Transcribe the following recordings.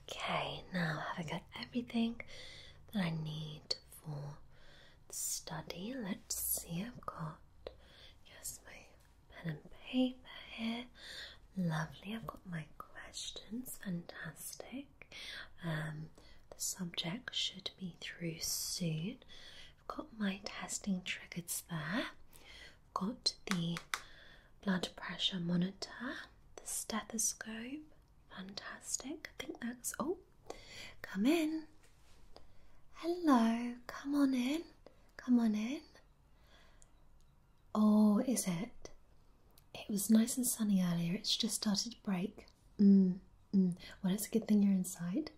Okay, now have got everything that I need for the study? Let's see, I've got yes, my pen and paper here. Lovely, I've got my questions, fantastic. Um, the subject should be through soon. I've got my testing triggers there. I've got the blood pressure monitor, the stethoscope. Fantastic. I think that's all. Oh, come in. Hello. Come on in. Come on in. Oh, is it? It was nice and sunny earlier. It's just started to break. Mm, mm. Well, it's a good thing you're inside.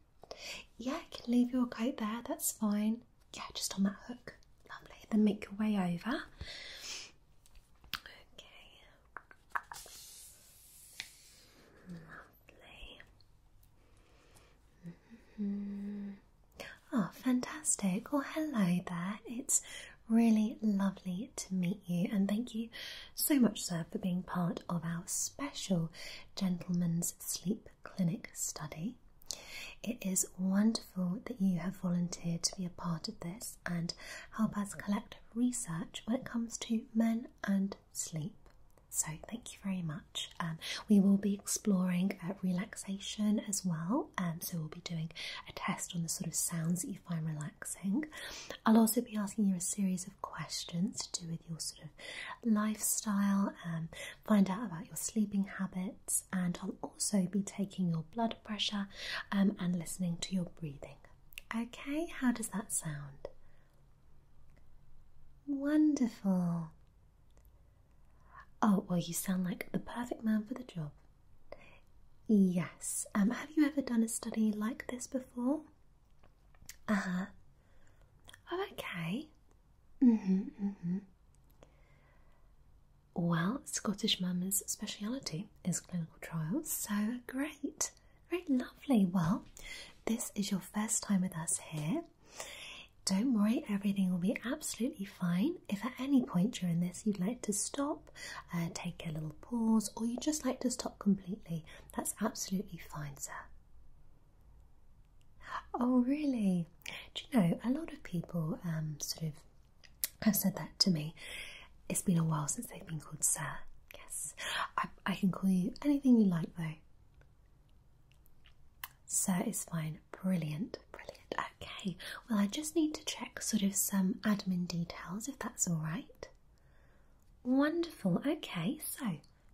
Yeah, I can leave your coat there. That's fine yeah, just on that hook. Lovely. Then make your way over. Okay. Lovely. Mm-hmm. Oh, fantastic. Well, hello there. It's really lovely to meet you, and thank you so much, sir, for being part of our special Gentleman's Sleep Clinic study. It is wonderful that you have volunteered to be a part of this and help us collect research when it comes to men and sleep. So, thank you very much. Um, we will be exploring uh, relaxation as well. Um, so, we'll be doing a test on the sort of sounds that you find relaxing. I'll also be asking you a series of questions to do with your sort of lifestyle, and um, find out about your sleeping habits and I'll also be taking your blood pressure um, and listening to your breathing. Okay, how does that sound? Wonderful. Oh, well, you sound like the perfect man for the job. Yes. Um, have you ever done a study like this before? Uh huh. Oh, okay. Mm-hmm, mm-hmm. Well, Scottish Mums' speciality is clinical trials, so great, very lovely. Well, this is your first time with us here. Don't worry, everything will be absolutely fine. If at any point during this you'd like to stop, uh, take a little pause, or you just like to stop completely, that's absolutely fine, sir. Oh, really? Do you know, a lot of people um, sort of i have said that to me. It's been a while since they've been called Sir. Yes. I can call you anything you like though. Sir is fine. Brilliant. Brilliant. Okay. Well, I just need to check sort of some admin details if that's all right. Wonderful. Okay. So,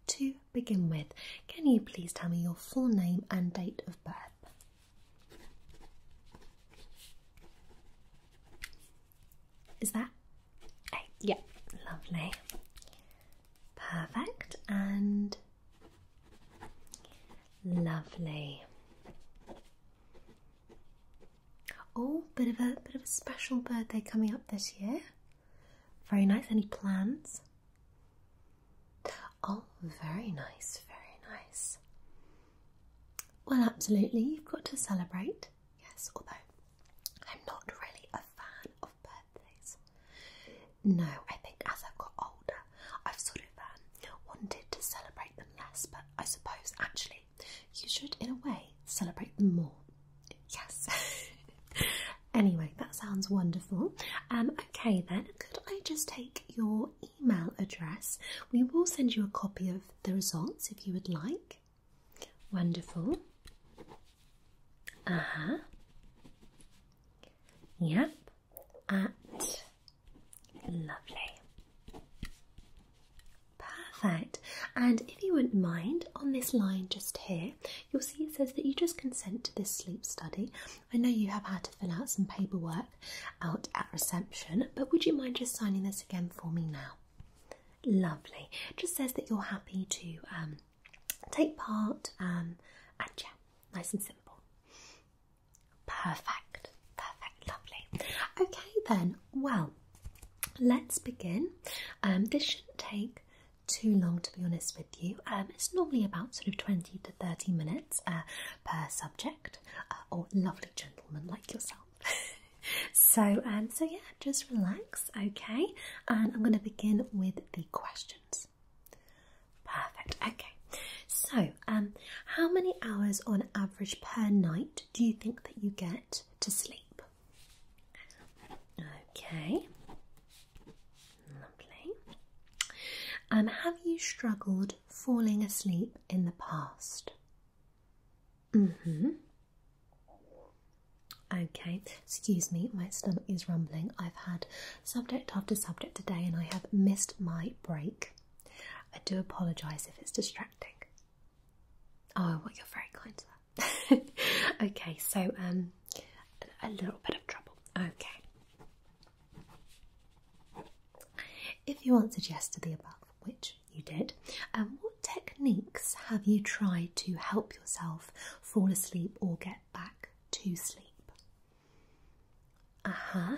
to begin with, can you please tell me your full name and date of birth? Is that? Oh, yeah, lovely. Perfect and lovely. Oh, bit of a bit of a special birthday coming up this year. Very nice. Any plans? Oh, very nice, very nice. Well, absolutely, you've got to celebrate. Yes, although I'm not really a fan of birthdays. No, I think as I've got older, I've sort of um, wanted to celebrate them less, but I suppose actually you should, in a way, celebrate them more. Yes. anyway, that sounds wonderful. Um, okay, then, could I just take your email address. We will send you a copy of the results if you would like. Wonderful. Uh huh. Yep. At. Lovely. Perfect. And if you wouldn't mind, on this line just here, you'll see it says that you just consent to this sleep study. I know you have had to fill out some paperwork out at reception, but would you mind just signing this again for me now? Lovely. Just says that you're happy to um, take part um, and yeah, nice and simple. Perfect, perfect, lovely. Okay, then, well, let's begin. Um, this shouldn't take too long to be honest with you. Um, it's normally about sort of 20 to 30 minutes uh, per subject, uh, or lovely gentleman like yourself. so, um, so yeah, just relax, okay? And I'm going to begin with the questions. Perfect. Okay. So, um, how many hours on average per night do you think that you get to sleep? Okay. Lovely. And have you struggled falling asleep in the past? Mm-hmm. Okay, excuse me, my stomach is rumbling. I've had subject after subject today and I have missed my break. I do apologise if it's distracting. Oh, well, you're very kind okay, so um, a little bit of trouble. Okay, if you answered yes to the above, which you did, and um, what techniques have you tried to help yourself fall asleep or get back to sleep? Uh huh.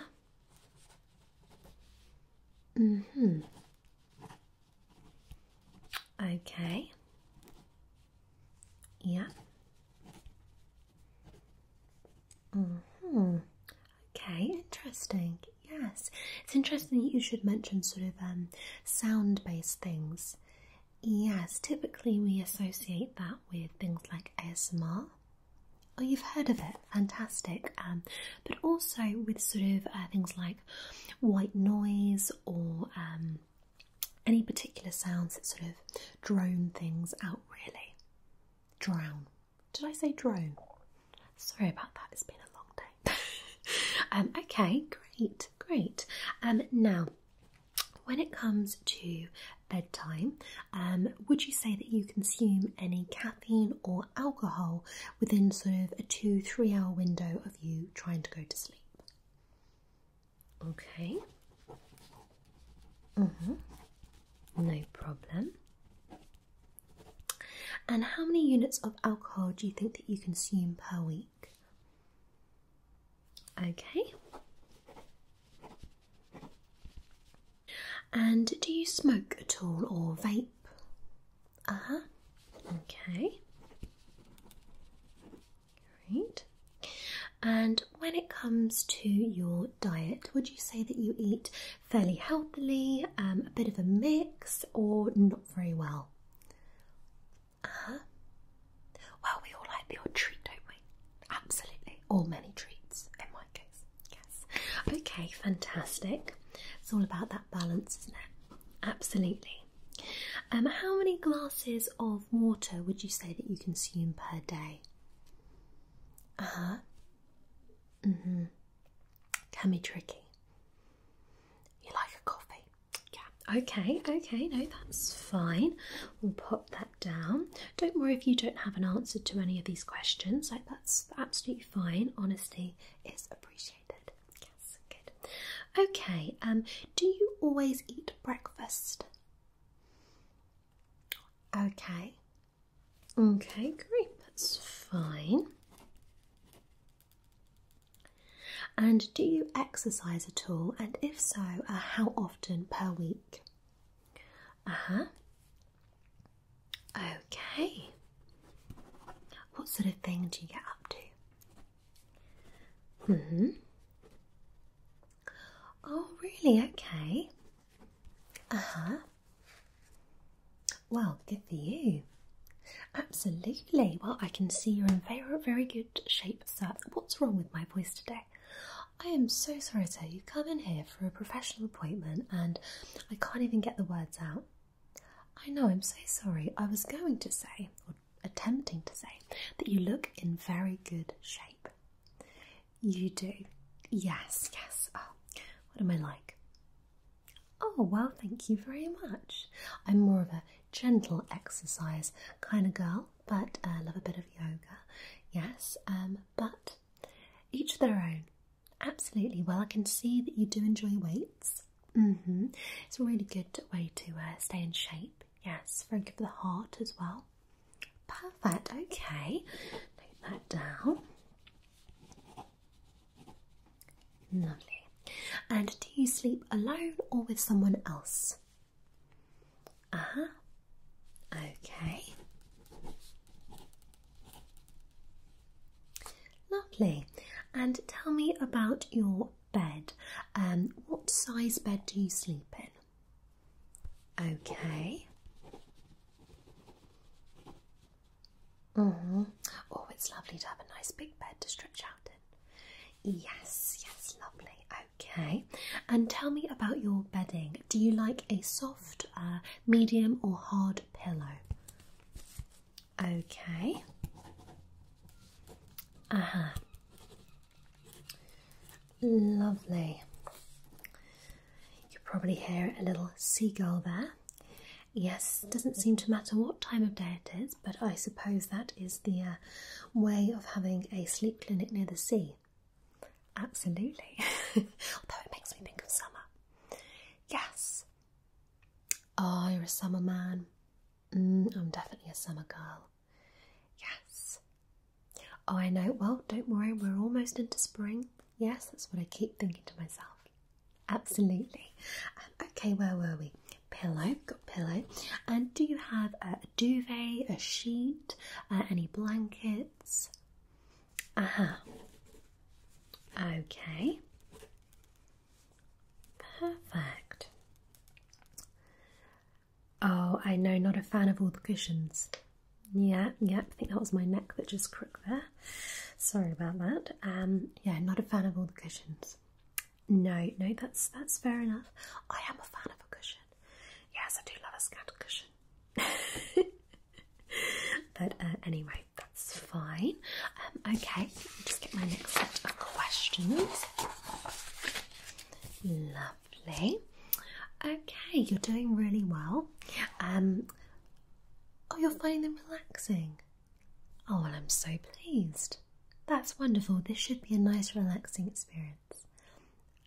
Mm hmm. Okay. Yeah hmm. Okay, interesting. Yes, it's interesting that you should mention sort of um, sound-based things. Yes, typically we associate that with things like ASMR. Oh, you've heard of it, fantastic. Um, but also with sort of uh, things like white noise or um, any particular sounds that sort of drone things out, really. Drown. Did I say drone? Sorry about that, it's been a long day. um, okay, great, great. Um, now, when it comes to bedtime, um, would you say that you consume any caffeine or alcohol within sort of a two, three hour window of you trying to go to sleep? Okay. Mm -hmm. No problem. And how many units of alcohol do you think that you consume per week? Okay. And do you smoke at all or vape? Uh huh. Okay. Great. And when it comes to your diet, would you say that you eat fairly healthily, um, a bit of a mix, or not very well? Uh huh. Well, we all like the odd treat, don't we? Absolutely, or many treats in my case. Yes. Okay, fantastic. It's all about that balance, isn't it? Absolutely. Um, how many glasses of water would you say that you consume per day? Uh huh. hmm. Can be tricky. You like a coffee? Yeah. Okay, okay, no, that's fine. We'll pop that down. Don't worry if you don't have an answer to any of these questions. Like, that's absolutely fine. Honesty is appreciated. Yes, good. Okay, um, do you always eat breakfast? Okay. Okay, great. That's fine. And do you exercise at all? And if so, uh, how often per week? Uh huh. Okay. What sort of thing do you get up to? Mm hmm. Oh, really? Okay. Uh huh. Well, good for you. Absolutely. Well, I can see you're in very, very good shape, sir. What's wrong with my voice today? I am so sorry, sir. You come in here for a professional appointment and I can't even get the words out. I know, I'm so sorry. I was going to say, or attempting to say, that you look in very good shape. You do? Yes, yes. Oh, what am I like? Oh, well, thank you very much. I'm more of a gentle exercise kind of girl, but I uh, love a bit of yoga. Yes, um, but each their own. Absolutely. Well, I can see that you do enjoy weights. Mm-hmm. It's a really good way to uh, stay in shape. Yes, very good for the heart as well. Perfect, okay. Take that down. Lovely. And do you sleep alone or with someone else? uh -huh. okay. Lovely. And tell me about your bed. Um, what size bed do you sleep in? Okay. -hmm. Oh, it's lovely to have a nice big bed to stretch out in. Yes, yes, lovely. Okay. And tell me about your bedding. Do you like a soft, uh, medium, or hard pillow? Okay. Uh huh. Lovely. You probably hear a little seagull there. Yes, it doesn't seem to matter what time of day it is, but I suppose that is the uh, way of having a sleep clinic near the sea. Absolutely. Although it makes me think of summer. Yes. Oh, you're a summer man. Mm, I'm definitely a summer girl. Yes. Oh, I know. Well, don't worry, we're almost into spring. Yes, that's what I keep thinking to myself. Absolutely. Um, okay, where were we? Pillow, got pillow. And do you have a duvet, a sheet, uh, any blankets? Uh -huh. Okay. Perfect. Oh, I know, not a fan of all the cushions. Yeah, yeah, I think that was my neck that just crooked there. Sorry about that. Um, yeah, not a fan of all the cushions. No, no, that's that's fair enough. I am a fan of a cushion. Yes, I do love a scatter cushion. but uh, anyway, that's fine. Um, okay, just get my next set of questions. Lovely. Okay, you're doing really well. Um, oh, you're finding them relaxing. Oh, I'm so pleased. That's wonderful. This should be a nice, relaxing experience.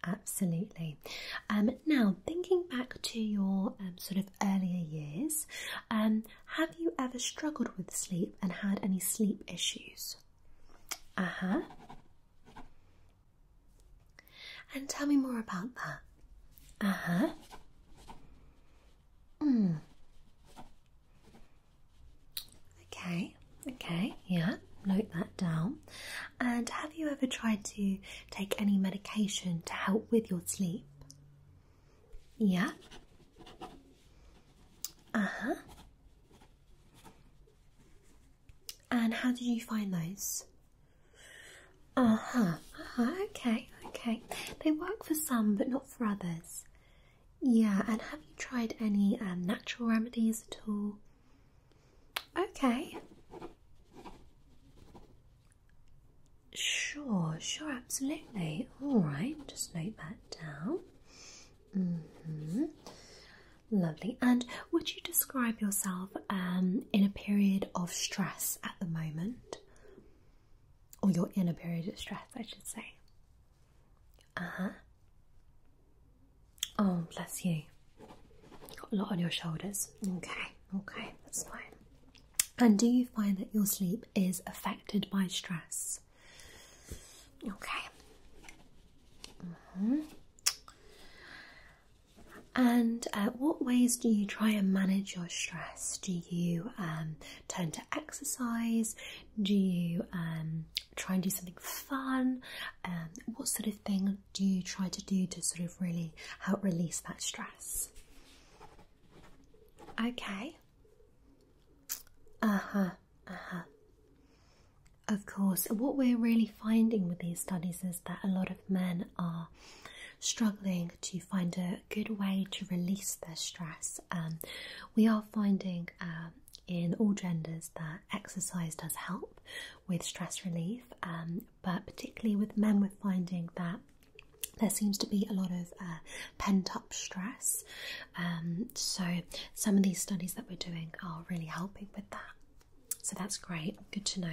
Absolutely. Um, now, thinking back to your um, sort of earlier years, have you ever struggled with sleep and had any sleep issues? Uh huh. And tell me more about that. Uh huh. Hmm. Okay, okay, yeah, note that down. And have you ever tried to take any medication to help with your sleep? Yeah. Uh huh. And how did you find those? Uh huh. Uh -huh. Okay. Okay. They work for some, but not for others. Yeah. And have you tried any um, natural remedies at all? Okay. Sure. Sure. Absolutely. All right. Just note that down. Mm-hmm. Lovely. And would you describe yourself um, in a period of stress at the moment? Or you're in a period of stress, I should say. Uh huh. Oh, bless you. You've got a lot on your shoulders. Okay, okay, that's fine. And do you find that your sleep is affected by stress? Okay. Mm-hmm. And uh, what ways do you try and manage your stress? Do you um, turn to exercise? Do you um, try and do something fun? Um, what sort of thing do you try to do to sort of really help release that stress? Okay. Uh huh. Uh huh. Of course, what we're really finding with these studies is that a lot of men are struggling to find a good way to release their stress. Um, we are finding um, in all genders that exercise does help with stress relief, um, but particularly with men, we're finding that there seems to be a lot of uh, pent up stress um, so, some of these studies that we're doing are really helping with that. So, that's great. Good to know.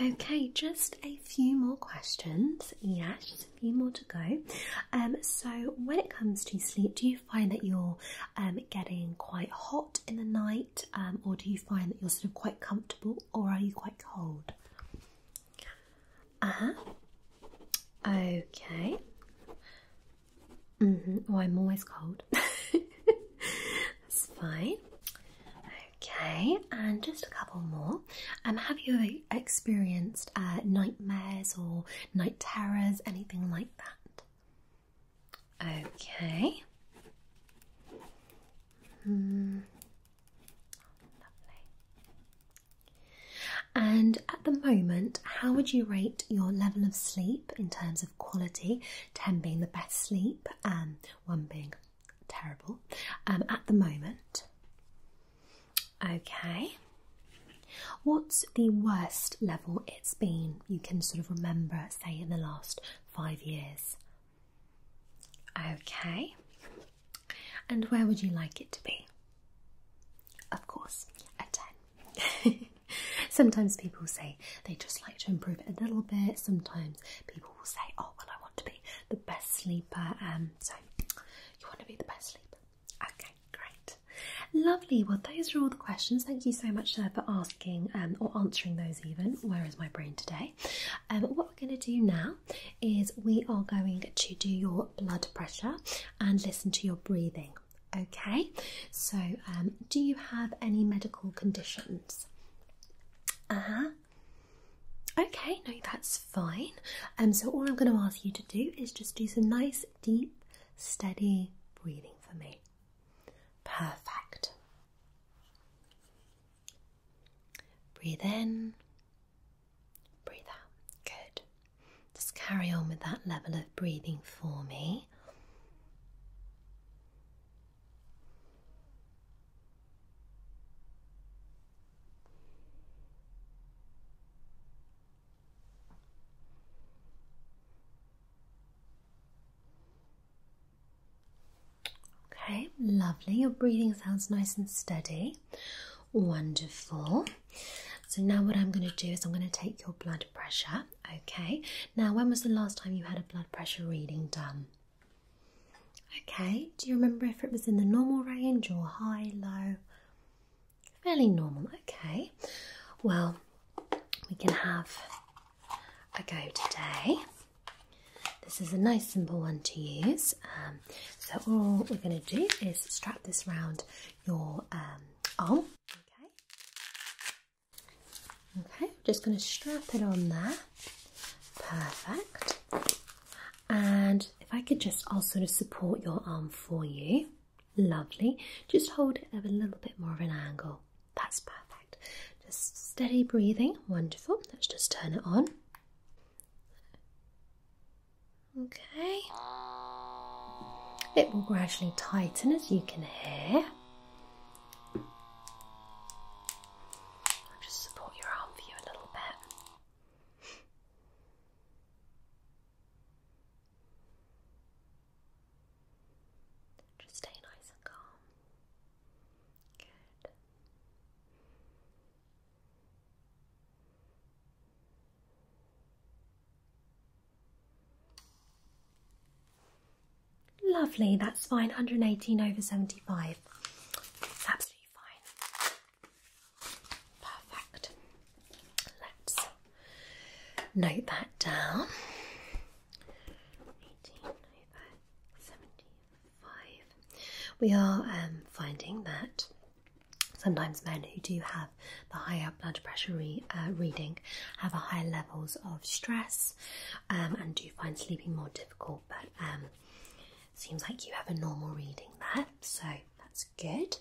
Okay, just a few more questions. Yes, just a few more to go. Um, so, when it comes to sleep, do you find that you're um, getting quite hot in the night, or do you find that you're sort of quite comfortable, or are you quite cold? Uh huh. Okay. Mm-hmm. Oh, I'm always cold. That's fine. Okay, and just a couple more. Um, have you experienced uh, nightmares or night terrors, anything like that? Okay. Hmm. Lovely. And at the moment, how would you rate your level of sleep in terms of quality? 10 being the best sleep, and um, 1 being terrible um, at the moment. Okay. What's the worst level it's been you can sort of remember, say, in the last five years? Okay. And where would you like it to be? Of course, a 10. Sometimes people say they just like to improve a little bit. Sometimes people will say, "Oh, well, I want to be the best sleeper." Um, so you want to be the best sleeper? Okay, great, lovely. Well, those are all the questions. Thank you so much uh, for asking um, or answering those. Even where is my brain today? Um, what we're going to do now is we are going to do your blood pressure and listen to your breathing. Okay, so um, do you have any medical conditions? Uh huh. Okay, no, that's fine. Um, so all I'm going to ask you to do is just do some nice, deep, steady breathing for me. Perfect. Breathe in Breathe out. Good. Just carry on with that level of breathing for me. Okay, lovely. Your breathing sounds nice and steady. Wonderful. So now what I'm going to do is I'm going to take your blood pressure. Okay. Now, when was the last time you had a blood pressure reading done? Okay. Do you remember if it was in the normal range or high, low? Fairly normal. Okay. Well, we can have a go today. This is a nice simple one to use. Um, so all we're going to do is strap this round your um, arm. Okay. Okay. Just going to strap it on there. Perfect. And if I could just also support your arm for you, lovely. Just hold it at a little bit more of an angle. That's perfect. Just steady breathing. Wonderful. Let's just turn it on. Okay. It will gradually tighten as you can hear. I'll just support your arm for you a little bit. Just stay nice and calm. Good. Lovely, that's fine. 118 over 75. absolutely fine. Perfect. Let's note that down. We are um, finding that Sometimes men who do have the higher blood pressure uh, reading have a higher levels of stress um, and do find sleeping more difficult. But um, seems like you have a normal reading there, so that's good.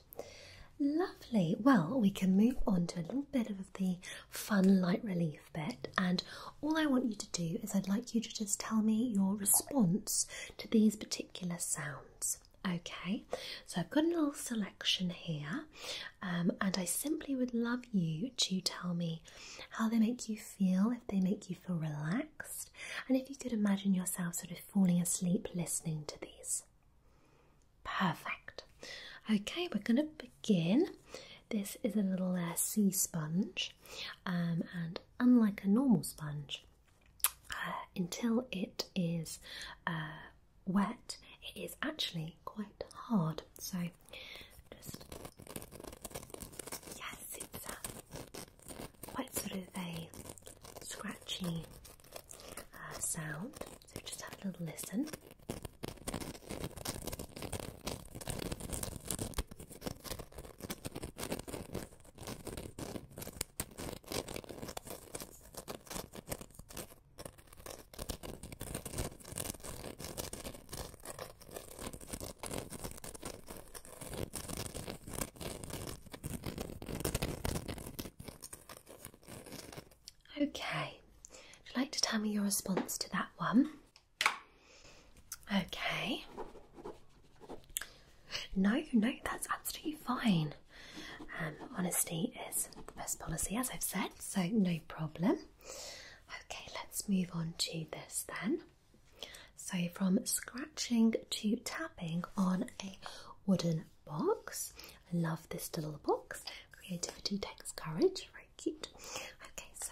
Lovely. Well, we can move on to a little bit of the fun light relief bit. And all I want you to do is I'd like you to just tell me your response to these particular sounds. Okay, so I've got a little selection here, um, and I simply would love you to tell me how they make you feel, if they make you feel relaxed, and if you could imagine yourself sort of falling asleep listening to these. Perfect. Okay, we're going to begin. This is a little uh, sea sponge, um, and unlike a normal sponge, uh, until it is uh, wet, it is actually quite hard. So just yes, it's a uh, quite sort of a scratchy sound. So just have a little listen. Okay, would you like to tell me your response to that one? Okay, no, no, that's absolutely fine. Um, honesty is the best policy, as I've said, so no problem. Okay, let's move on to this then. So, from scratching to tapping on a wooden box. I love this little box. Creativity takes courage. Very cute. Okay, so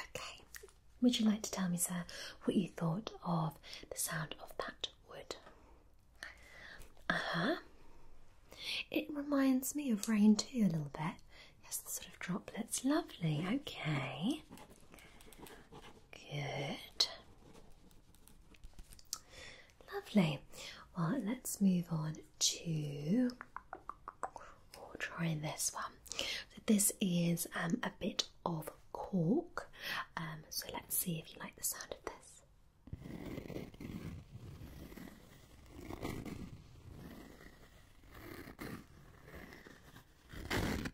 Okay, would you like to tell me, sir, what you thought of the sound of that wood? Uh huh. It reminds me of rain too, a little bit. Yes, the sort of droplets. Lovely, okay. Good. Lovely. Well, let's move on to. Oh, we try this one. So this is um, a bit of cork. Um, so let's see if you like the sound of this.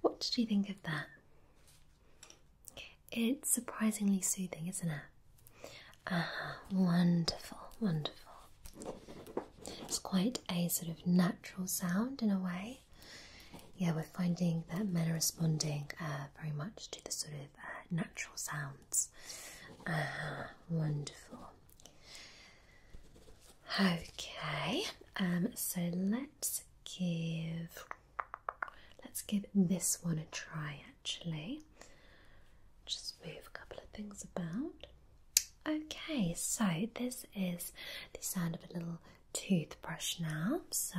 What did you think of that? It's surprisingly soothing, isn't it? Uh-huh. wonderful, wonderful. It's quite a sort of natural sound in a way. Yeah, we're finding that men are responding uh, very much to the sort of uh, natural sound Ah, wonderful. Okay, um, so let's give let's give this one a try actually. Just move a couple of things about. Okay, so this is the sound of a little toothbrush now. So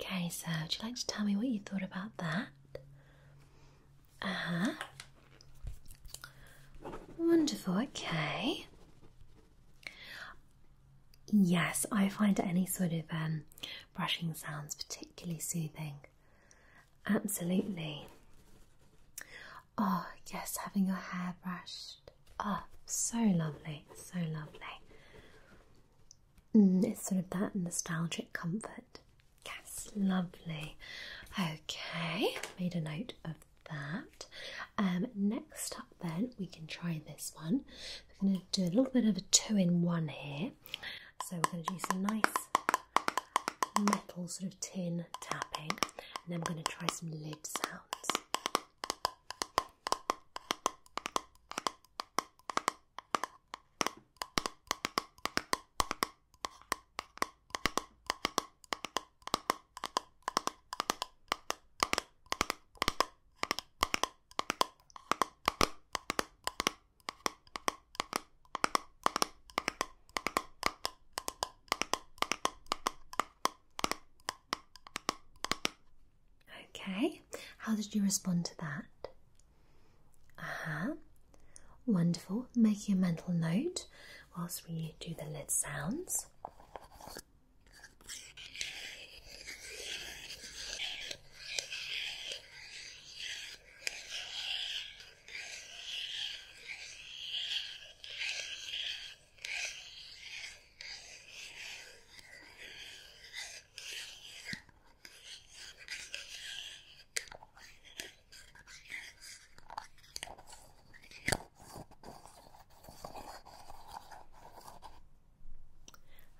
Okay, so would you like to tell me what you thought about that? Ah. Wonderful, okay. Yes, I find any sort of um, brushing sounds particularly soothing. Absolutely. Oh, yes, having your hair brushed. Oh, so lovely, so lovely. Mm, it's sort of that nostalgic comfort. Yes, lovely. Okay, made a note of that. Um, next up, then we can try this one. We're going to do a little bit of a two-in-one here. So we're going to do some nice metal sort of tin tapping, and then we're going to try some lid sounds. Okay, how did you respond to that? Uh huh. Wonderful. Making a mental note whilst we do the lid sounds.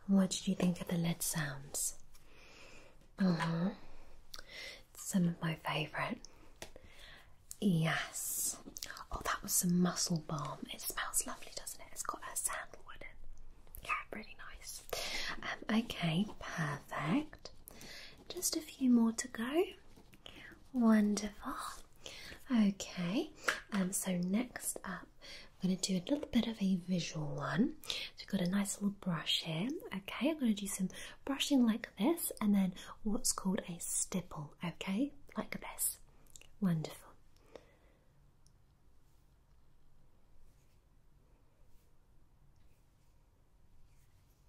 What did you think of the lid sounds? Uh huh. Some of my favourite. Yes. Oh, that was some muscle balm. It smells lovely, doesn't it? It's got a sandalwood in. Yeah, really nice. Um, okay, perfect. Just a few more to go. Wonderful. Okay, um, so next up, I'm going to do a little bit of a visual one. So we've got a nice little brush here. Okay, I'm going to do some brushing like this and then what's called a stipple. Okay, like this. Wonderful.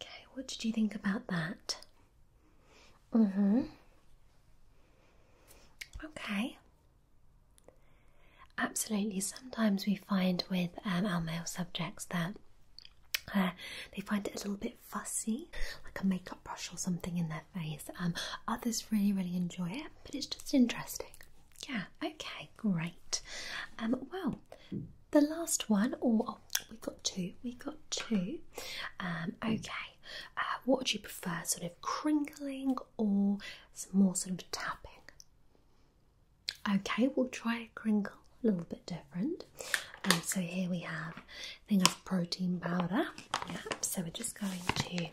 Okay, what did you think about that? Mm-hmm. Okay. Absolutely. Sometimes we find with um, our male subjects that uh, they find it a little bit fussy, like a makeup brush or something in their face. Um, others really, really enjoy it, but it's just interesting. Yeah, okay, great. Um, well, the last one, or oh, we've got two, we've got two. Um, okay, uh, what would you prefer, sort of crinkling or some more sort of tapping? Okay, we'll try a crinkle, a little bit different. Um, so here we have a thing of protein powder. Yeah, so we're just going to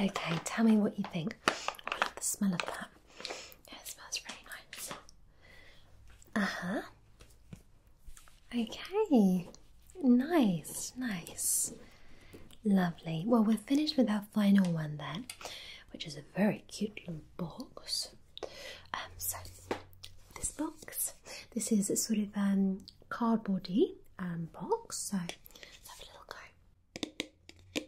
Okay, tell me what you think. I love the smell of that. Yeah, it smells really nice. Uh huh. Okay, nice, nice, lovely. Well, we're finished with our final one then, which is a very cute little box. Um, so this box, this is a sort of um cardboardy um box. So let's have a little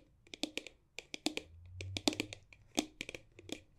go.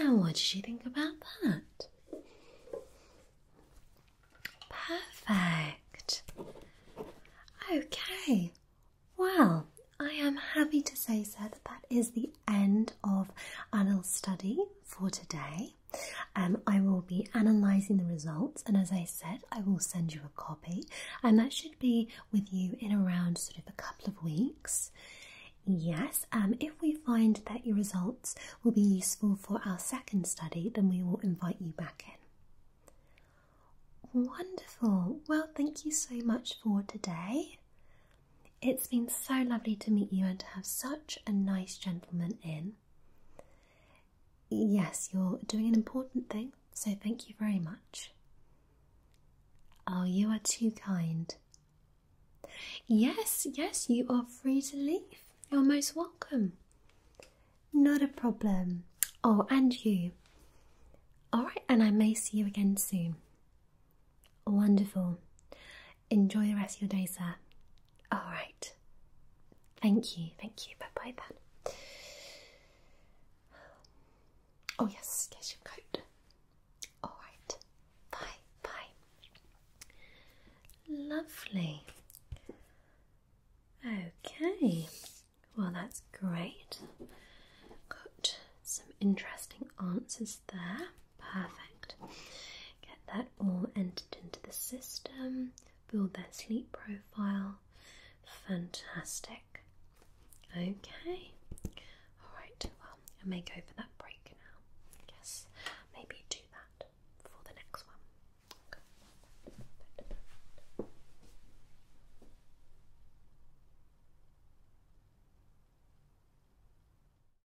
And what did you think about that? Perfect. Okay. Well, I am happy to say, sir, that that is the end of our little study for today. Um, I will be analysing the results, and as I said, I will send you a copy, and that should be with you in around sort of a couple of weeks. Yes, um, if we find that your results will be useful for our second study, then we will invite you back in. Wonderful. Well, thank you so much for today. It's been so lovely to meet you and to have such a nice gentleman in. Yes, you're doing an important thing, so thank you very much. Oh, you are too kind. Yes, yes, you are free to leave. You're most welcome. Not a problem. Oh, and you. All right, and I may see you again soon. Wonderful enjoy the rest of your day, sir. All right. Thank you. Thank you. Bye bye then. Oh, yes. Get your coat. All right. Bye bye. Lovely. Okay. Well, that's great. Got some interesting answers there. Perfect. Get that all entered into the system, build that sleep profile. Fantastic. Okay. Alright, well, I may go for that break now. Yes, maybe do that for the next one.